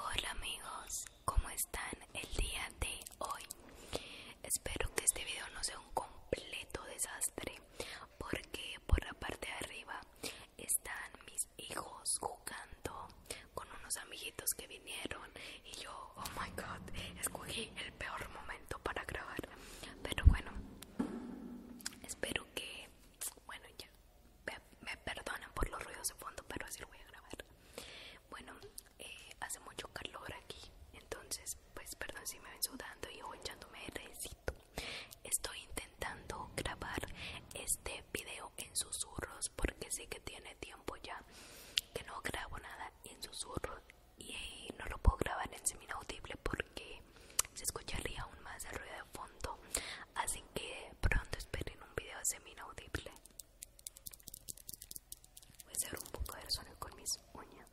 Hola amigos, ¿cómo están el día de hoy? Espero que este video no sea un completo desastre porque por la parte de arriba están mis hijos jugando con unos amiguitos que vinieron y yo, oh my god, escogí el peor momento para grabar. Pero bueno, espero que, bueno, ya me, perdonen por los ruidos de fondo, pero así lo voy a grabar. Bueno, eh, hace mucho calor aquí, entonces, pues perdón si me ven sudando y yo echándome recito. Estoy intentando intentando grabar este video en susurros porque sé que tiene tiempo ya que no grabo nada en susurros y no lo puedo grabar en seminaudible porque se escucharía aún más el ruido de fondo así que pronto esperen un video seminaudible voy a hacer un poco de sonido con mis uñas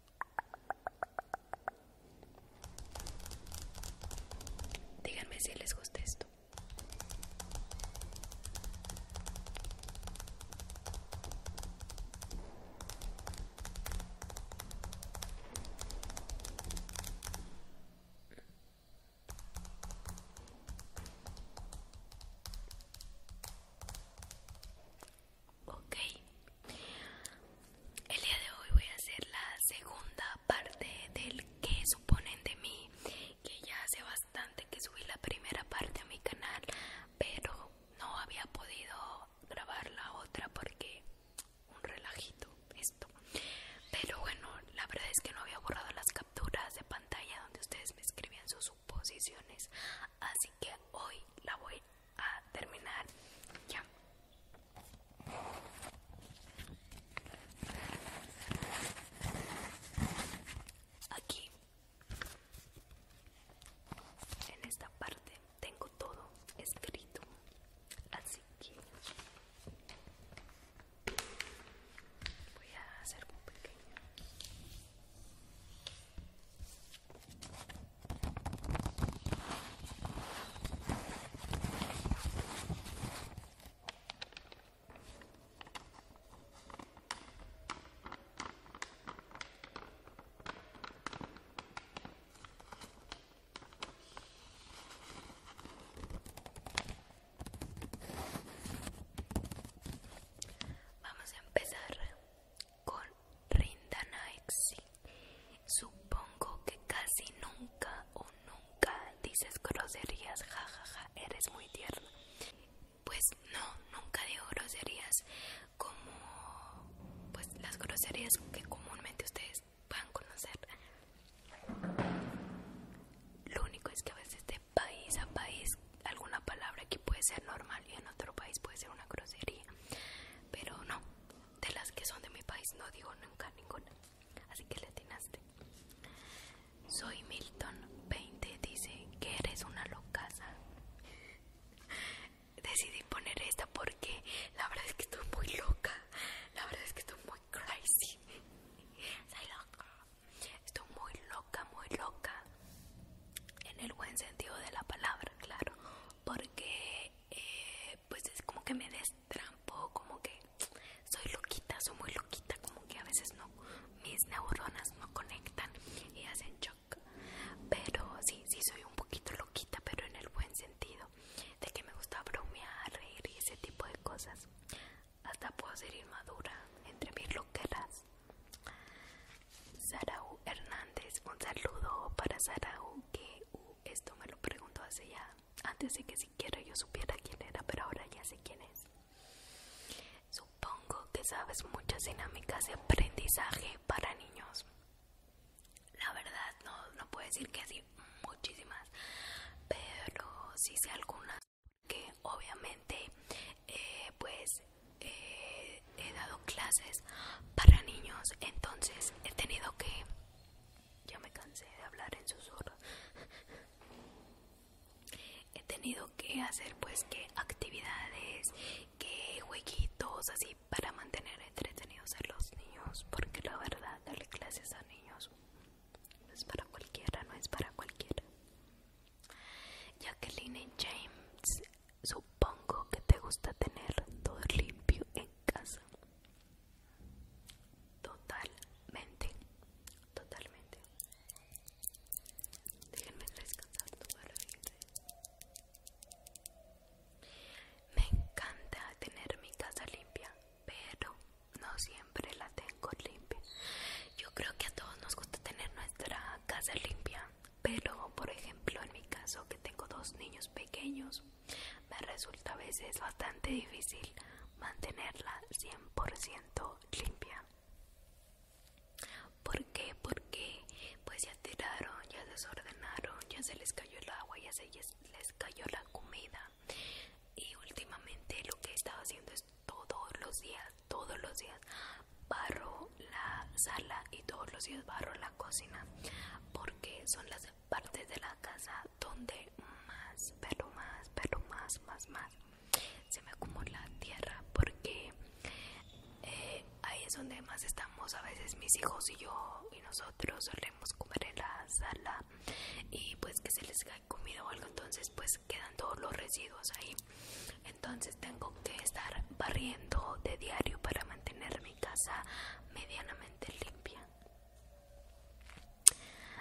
díganme si les gusta esto Ok, el día de hoy voy a hacer la segunda parte del que suponen de mí que ya hace bastante que subí la primera parte a mi canal pero no había podido grabar la otra porque un relajito esto pero bueno la verdad es que no había borrado las capturas de pantalla donde ustedes me escribían sus suposiciones así que hoy la voy a terminar ya Aquí, en esta parte, tengo todo escrito, así que voy a hacer un pequeño. Vamos a empezar con Rinda Supongo que casi nunca o nunca nunca dices groserías, jajaja, eres muy tierna. Pues no, nunca digo groserías como pues las groserías que comúnmente ustedes van a conocer. Lo único es que a veces de país a país alguna palabra aquí puede ser normal y en otro país puede ser una grosería. Pero no, de las que son de mi país no digo nunca ninguna. Así que le atinaste. Soy Milton 20, dice que eres una locaza. Decidí poner esta porque la verdad es que estoy muy loca. La verdad es que estoy muy crazy. estoy loca. Estoy muy loca, muy loca. En el buen sentido de la palabra, claro. Porque eh, pues es como que me des trampo, como que soy loquita, soy muy loquita, como que a veces no, mis neuronas no conectan y hacen shock. Pero sí, sí soy un poquito loquita, pero en el buen sentido, de que me gusta bromear, reír y ese tipo de cosas. Hasta puedo ser inmadura entre mis loqueras. U. Hernández, un saludo para U. que uh, esto me lo preguntó hace ya, antes de que Quiero yo supiera quién era, pero ahora ya sé quién es. Supongo que sabes muchas dinámicas de aprendizaje para niños. La verdad no, no puedo decir que así muchísimas, pero sí sé algunas que obviamente eh, pues eh, he dado clases para niños, entonces he tenido que ya me cansé de hablar en susurros. He tenido que hacer pues que actividades, que jueguitos así para mantener entretenidos a los niños, porque la verdad darle clases a niños no es para cualquiera, no es para cualquiera. Jacqueline James, supongo que te gusta tener todo limpio en casa. Totalmente, totalmente. Déjenme descansar Me encanta tener mi casa limpia, pero no siempre la tengo limpia. Yo creo que a todos nos gusta tener nuestra casa limpia, pero por ejemplo en mi caso que tengo dos niños pequeños, me resulta a veces bastante difícil mantenerla 100% limpia. ¿Por qué? Porque pues ya tiraron, ya desordenaron, ya se les cayó el agua, ya se les cayó la comida. Y últimamente lo que he estado haciendo es todos los días, todos los días barro la sala y todos los días barro la cocina porque son las partes de la casa donde más, pero más, pero más, más, más se me acumula tierra porque eh, ahí es donde más estamos a veces mis hijos y yo y nosotros solemos comer en la sala y pues que se les cae comida o algo entonces pues quedan todos los residuos ahí entonces tengo que estar barriendo de diario para mantener mi casa medianamente limpia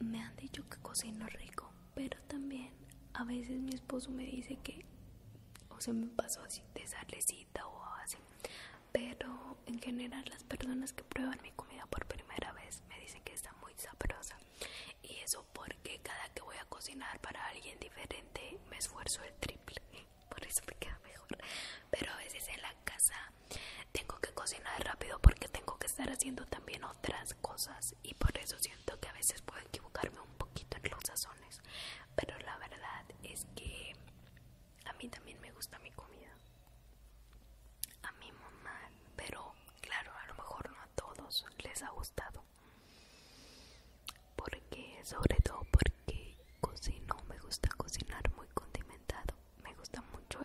Me han dicho que cocino rico, pero también a veces mi esposo me dice que o se me pasó así de salecita o así. Pero en general las personas que prueban mi comida por primera vez me dicen que está muy sabrosa. Y eso porque cada que voy a cocinar para alguien diferente me esfuerzo el triple. Por eso me queda mejor. Pero a veces en la casa tengo que cocinar rápido porque tengo que estar haciendo también otras cosas y por eso siento que a veces puedo equivocarme un poquito en los sazones pero la verdad es que a mí también me gusta mi comida a mi mamá pero claro a lo mejor no a todos les ha gustado porque sobre todo porque cocino me gusta cocinar muy condimentado me gusta mucho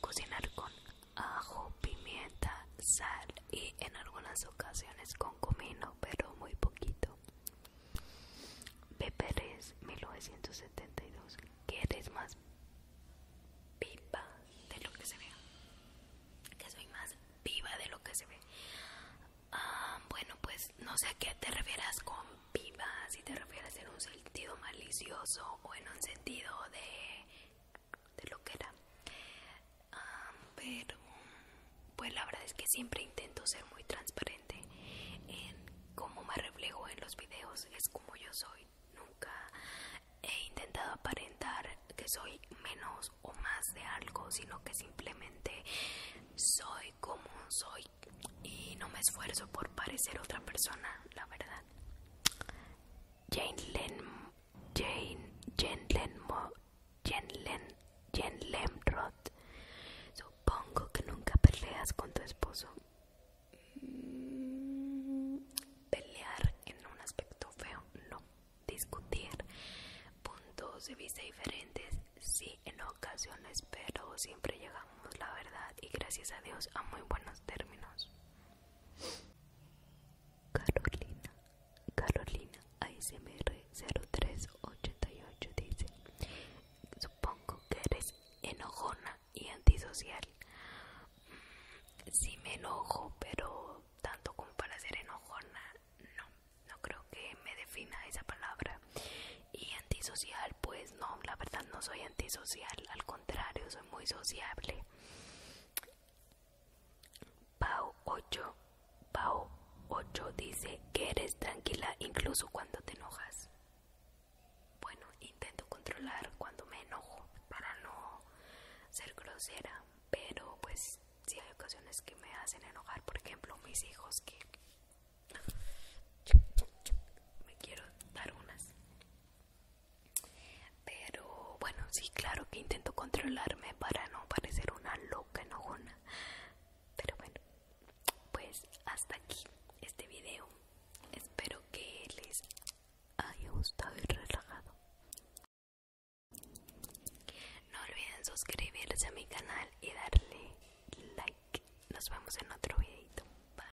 cocinar con ajo, pimienta, sal y en algunas ocasiones con comino, pero muy poquito. Beperes 1972. ¿Quieres más viva de lo que se ve? Que soy más viva de lo que se ve. Ah, bueno, pues no sé a qué te refieras con viva si te refieres en un sentido malicioso o en un sentido de, de lo que era. pero, pues la verdad es que siempre intento ser muy transparente en cómo me reflejo en los videos, es como yo soy. Nunca he intentado aparentar que soy menos o más de algo, sino que simplemente soy como soy y no me esfuerzo por parecer otra persona, la verdad. Jane Len, Jane, Jane Jane Jane Supongo que nunca peleas con tu esposo. Mm, pelear en un aspecto feo, no. Discutir puntos de vista diferentes, sí, en ocasiones, pero siempre llegamos, la verdad, y gracias a Dios, a muy buenos términos. Carolina, Carolina ASMR0388 dice, supongo que eres enojona y antisocial. Mm, sí me enojo, pero tanto como para ser enojona, no, no creo que me defina esa palabra. Y antisocial, pues no, la verdad no soy antisocial, al contrario, soy muy sociable. Pau 8, Pau 8 dice que eres tranquila incluso cuando te enojas. Bueno, intento controlar cuando me enojo para no ser grosera, pero pues si hay ocasiones que me hacen enojar, por ejemplo, mis hijos que me quiero dar unas pero bueno, sí, claro que intento controlarme para no parecer una loca enojona. Pero bueno, pues hasta aquí este video. Espero que les haya gustado y relajado. No olviden suscribirse a mi canal y darle like. Nos vemos en otro videito. Bye.